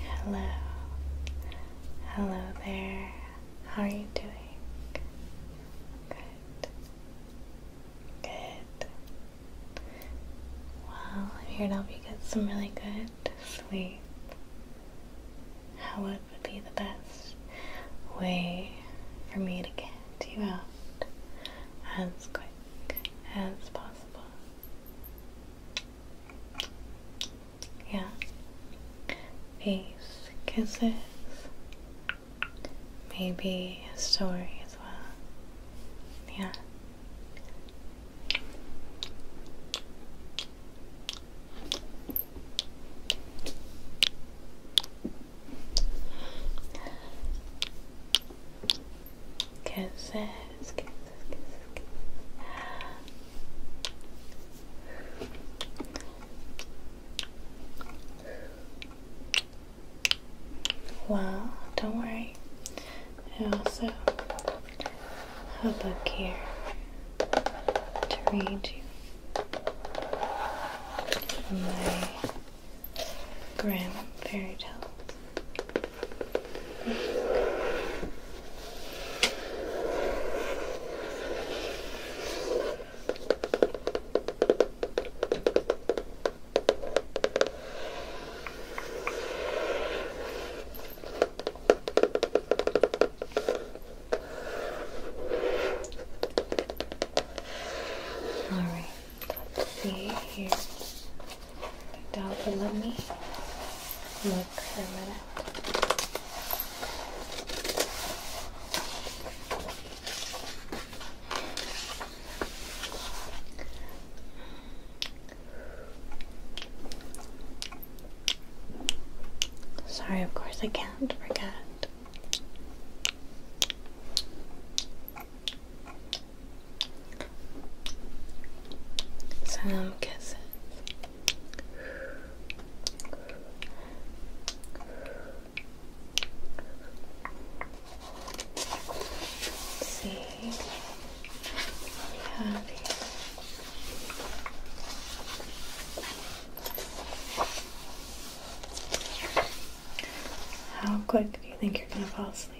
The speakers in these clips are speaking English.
Hello, hello there. How are you doing? Good, good. Well, I'm here to help you get some really good sleep. How would be the best way for me to get you out as quick as possible? Yeah. Peace, kisses, maybe a story as well. Yeah. Kisses, kisses, kisses, kisses. Well, don't worry. I also have a book here to read you from my grim fairy tales. All right, let's see here dog will love me. Look for a Sorry, of course I can't forget. Some kisses. see How quick do you think you're gonna fall asleep?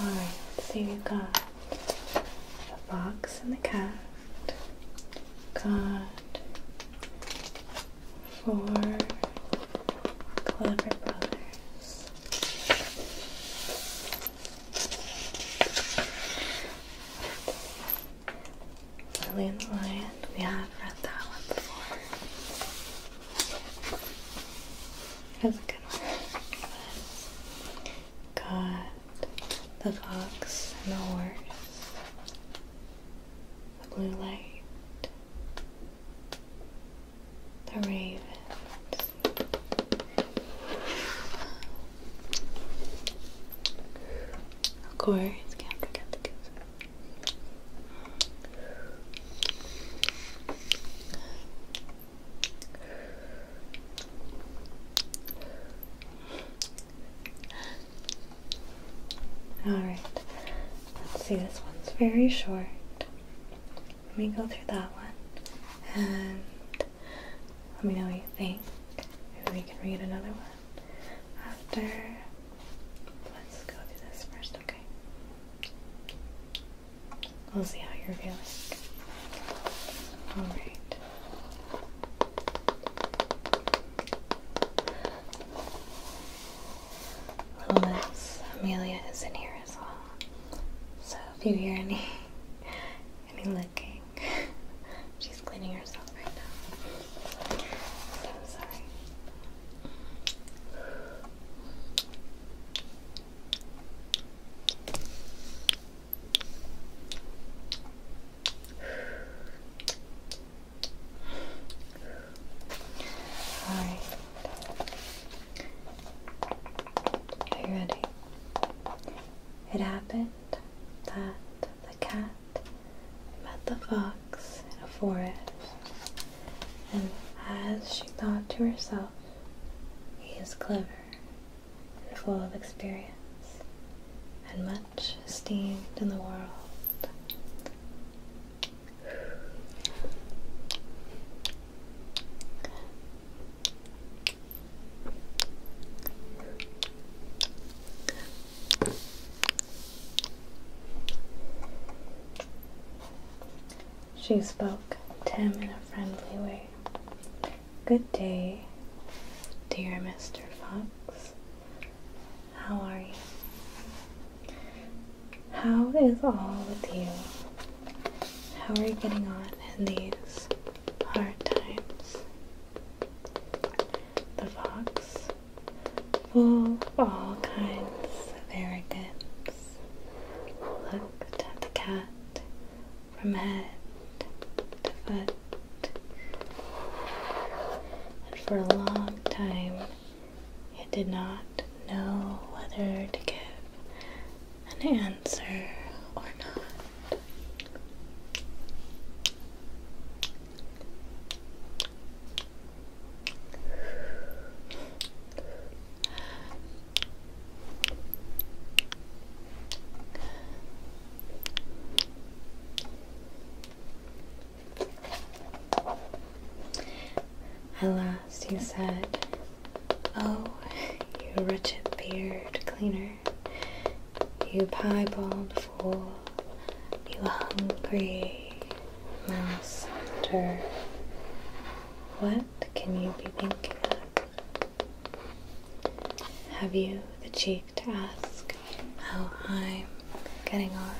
Alright, so we have got the fox and the cat. Got four clever brothers. Lily and the Lion. We have read that one before. That's a good one. Got the fox and the horse, the blue light, the raven. Of course, can't forget the goose. Alright, let's see, this one's very short. Let me go through that one and let me know what you think. Maybe we can read another one after. Let's go through this first, okay? We'll see how you're feeling. Alright. Little Amelia is in here as well. So if you hear any any licking, she's cleaning herself right now. So sorry. All right. Are you ready? It happened that the cat met the fox in a forest, and as she thought to herself, he is clever and full of experience and much esteemed in the world. She spoke to him in a friendly way. Good day, dear Mr. Fox. How are you? How is all with you? How are you getting on in these hard times? The fox, full all kinds of arrogance, looked at the cat from head to foot, and for a long time it did not know whether to give an answer or not. At last he said, Oh, you wretched beard cleaner, you piebald fool, you hungry mouse hunter, what can you be thinking of? Have you the cheek to ask how I'm getting on?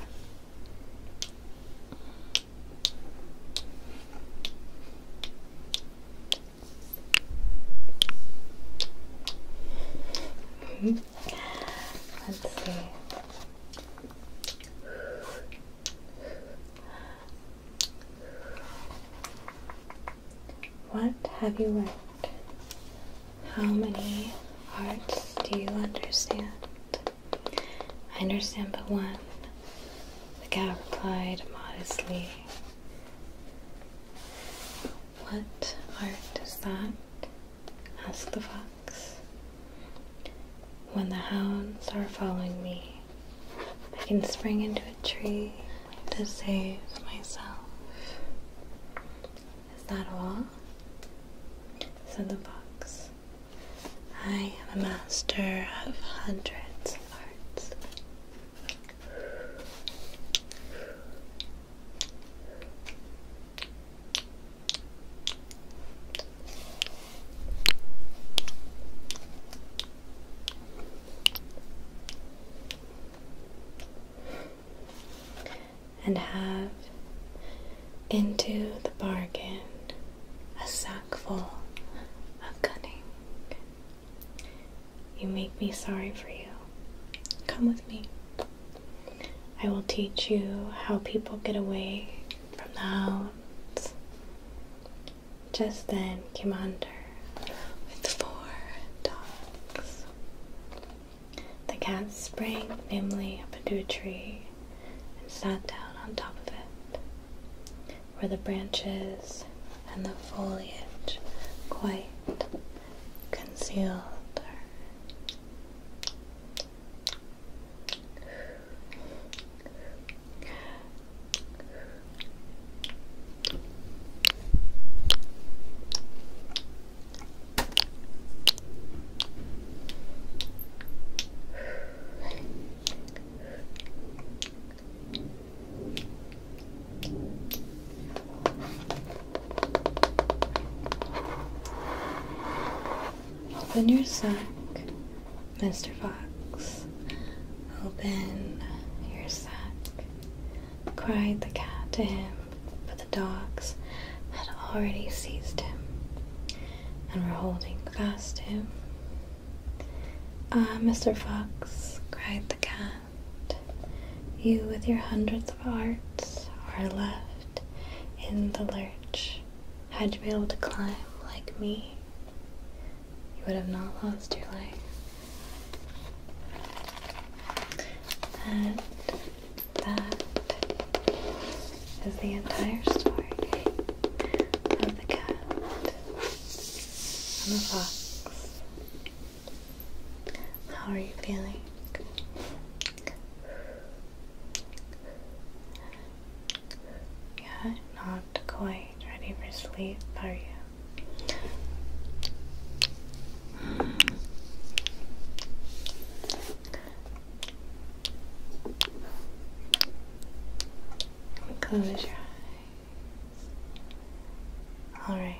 Hmm. Let's see. What have you learned? How many arts do you understand? I understand but one, the cat replied modestly. What art is that? asked the fox. When the hounds are following me, I can spring into a tree to save myself. Is that all? said the box. I am a master of hundreds of arts and have into the bargain a sackful of cunning. You make me sorry for you. Come with me. I will teach you how people get away from the hounds, just then came under with four dogs. The cat sprang nimbly up into a tree and sat down on top of it, where the branches and the foliage quite concealed her. Open your sack Mr. Fox, open your sack, cried the cat to him, but the dogs had already seized him and were holding fast to him. Ah, Mr. Fox, cried the cat, you with your hundreds of arts are left in the lurch. Had you been able to climb like me, you would have not lost your life, And that is the entire story of the cat and the fox. How are you feeling? Yeah, not not ready for sleep, are you? Close your eyes. Alright.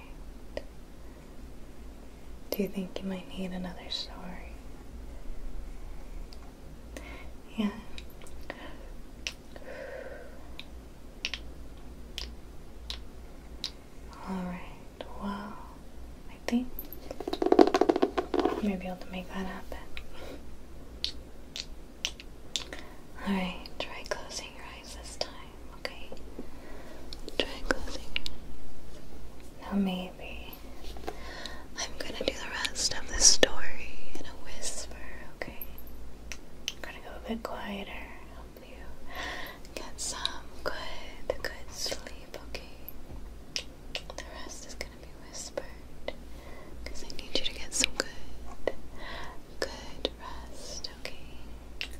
Do you think you might need another story? Yeah. Alright, well, I think I may be able to make that happen. Alright, try closing your eyes this time, okay? Try closing your maybe I'm gonna do the rest of the story in a whisper, okay? I'm gonna go a bit quieter, help you get some good, good sleep, okay? The rest is gonna be whispered because I need you to get some good, good rest, okay?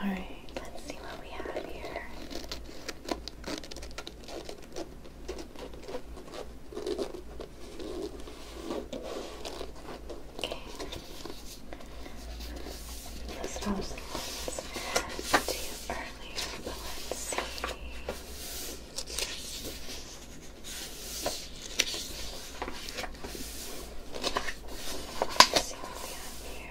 Alright, let's see what we have here. Okay. This was the earlier, let's see. Let's see what we have here.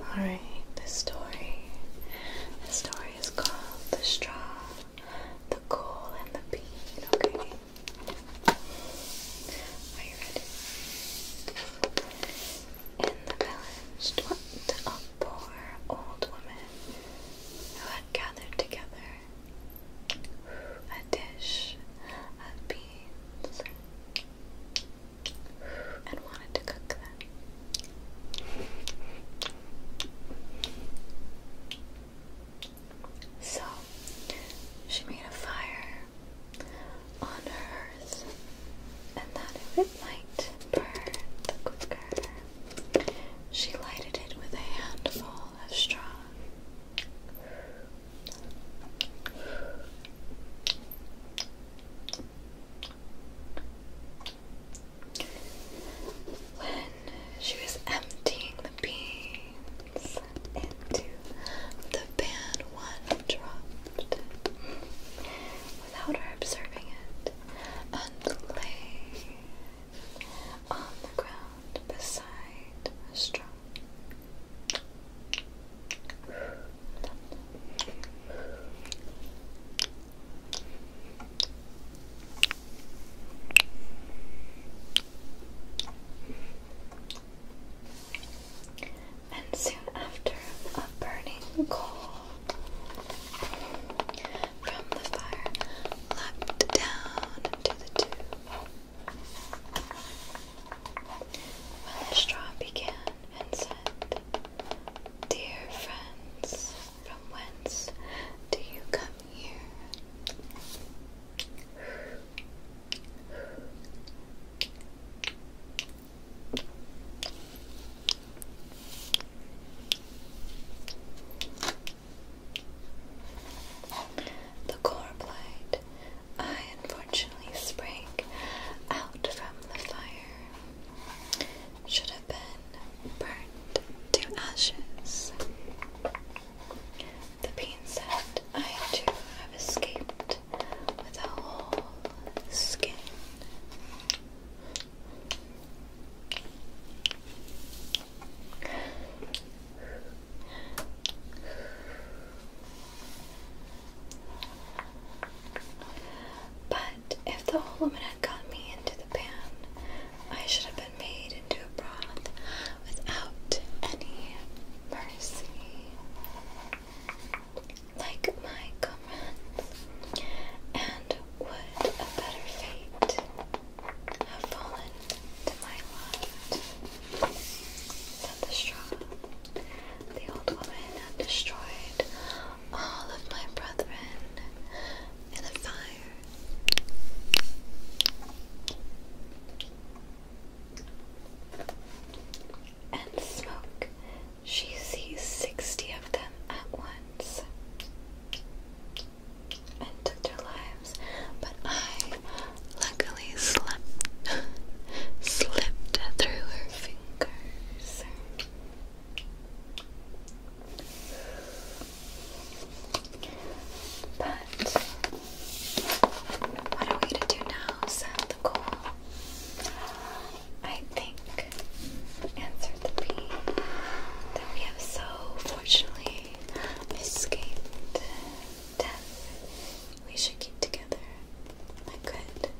Alright, the story. The story is called The Straw, the Coal, and the Bean. Okay. Are you ready? In the village dwelt a poor old woman who had gathered together a dish of beans and wanted to cook them. So she made a fire on her earth and that it might burn the quicker. She lighted it with a handful of straw when she was emptying the beans into the pan, one dropped without her observing it and lay on the ground beside a straw. And soon after, a burning coal from the fire leapt down into the tube. When the straw began and said, Dear friends, from whence do you come here? The core replied, I unfortunately sprang out from the fire should have been burnt to ashes. The bean I too have escaped with a whole skin. But if the aluminum had got me into the pan, I should have been made into a broth without any mercy. Like my comrades, and would a better fate have fallen to my lot than the straw? The old woman had destroyed all of my brethren in the fire. And smoke, she sees sixty of them at once and took their lives. But I luckily slipped slipped through her fingers ears. But what are we to do now? Set the goal. I think answered the bee that we have so fortunately escaped death. We should keep together my good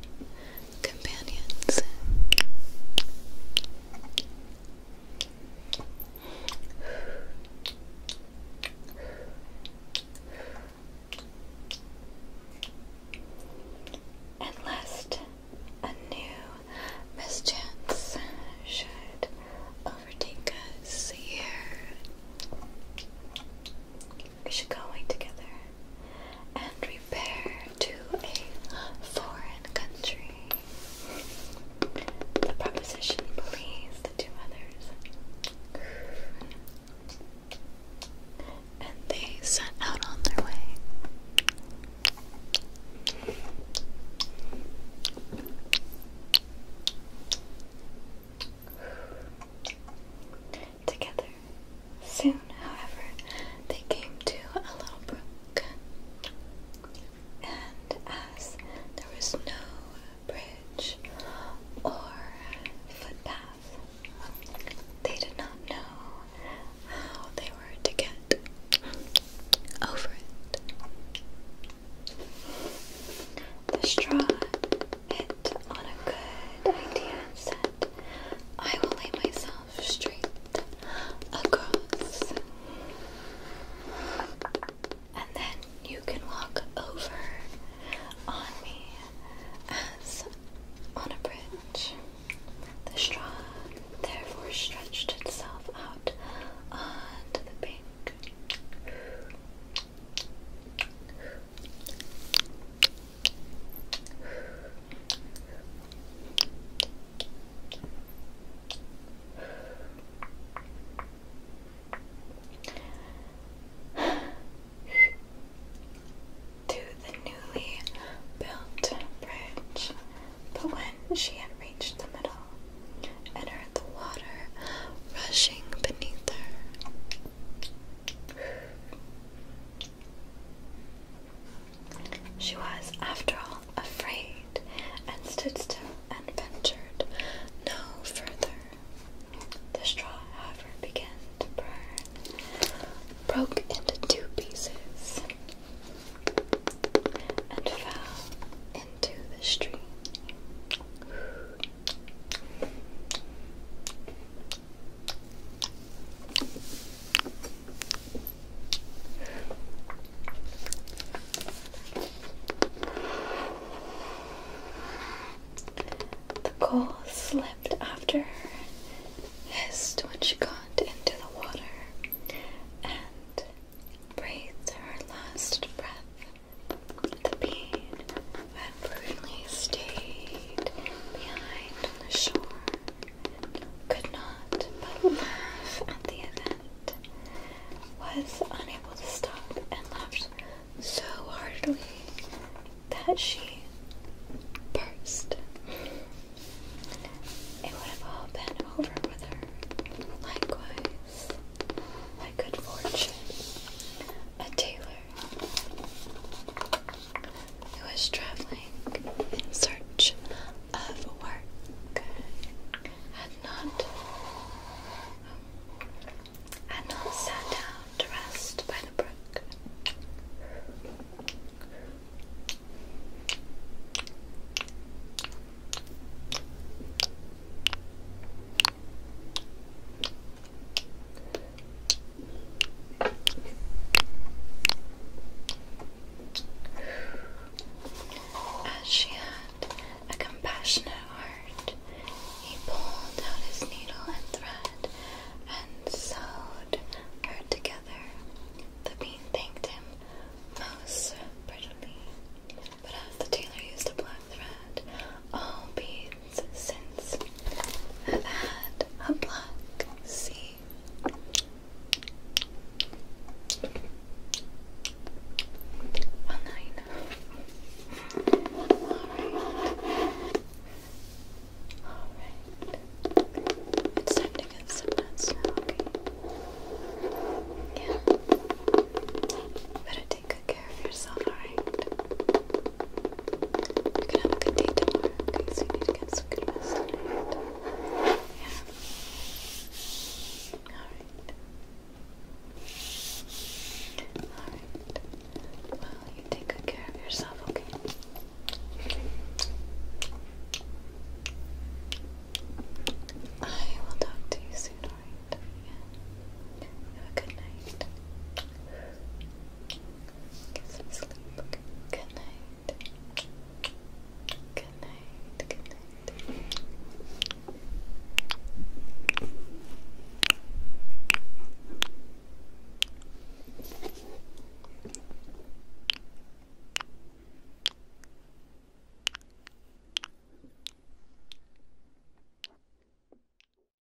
companions. And lest a new mischance should overtake us here, we should go away together and repair to a foreign country. The proposition pleased the two others, and they set out on their way together. Soon, however, they came to a little brook, and as there was no bridge or footpath, they did not know how they were to get over it. The straw it on a good idea and said, I will lay myself straight across. And then you can walk over on me as on a bridge. The straw therefore stretched itself out onto the bank. to the newly built bridge. But when she had reached the middle and heard the water rushing beneath her, she was, after all, afraid, and stood still and ventured no further. The straw, however, began to burn, broke into two pieces, and fell into the stream. The coal slipped after her, hissed when she got into the water, and breathed her last breath. The pain had prudently stayed behind on the shore, could not but laugh at the event, was unable to stop, and laughed so heartily that she burst. It would have all been over with her. Likewise, my good fortune, a tailor who was traveling in search of work had not had not sat down to rest by the brook. As she had a compassionate heart, he pulled out his needle and thread and sewed her together. The bean thanked him most prettily, but as the tailor used a black thread, all beads months since I've had a black sea. Alright. Alright. It's time to get some nuts Yeah. Better take good care care of yourself, alright? You're gonna have a good day tomorrow, okay? So you to get some good rest Yeah? Alright. Alright. Well, you take care of yourself, okay? I will talk to you soon, alright? Have a good night. Get some Good night. Good night. Good night.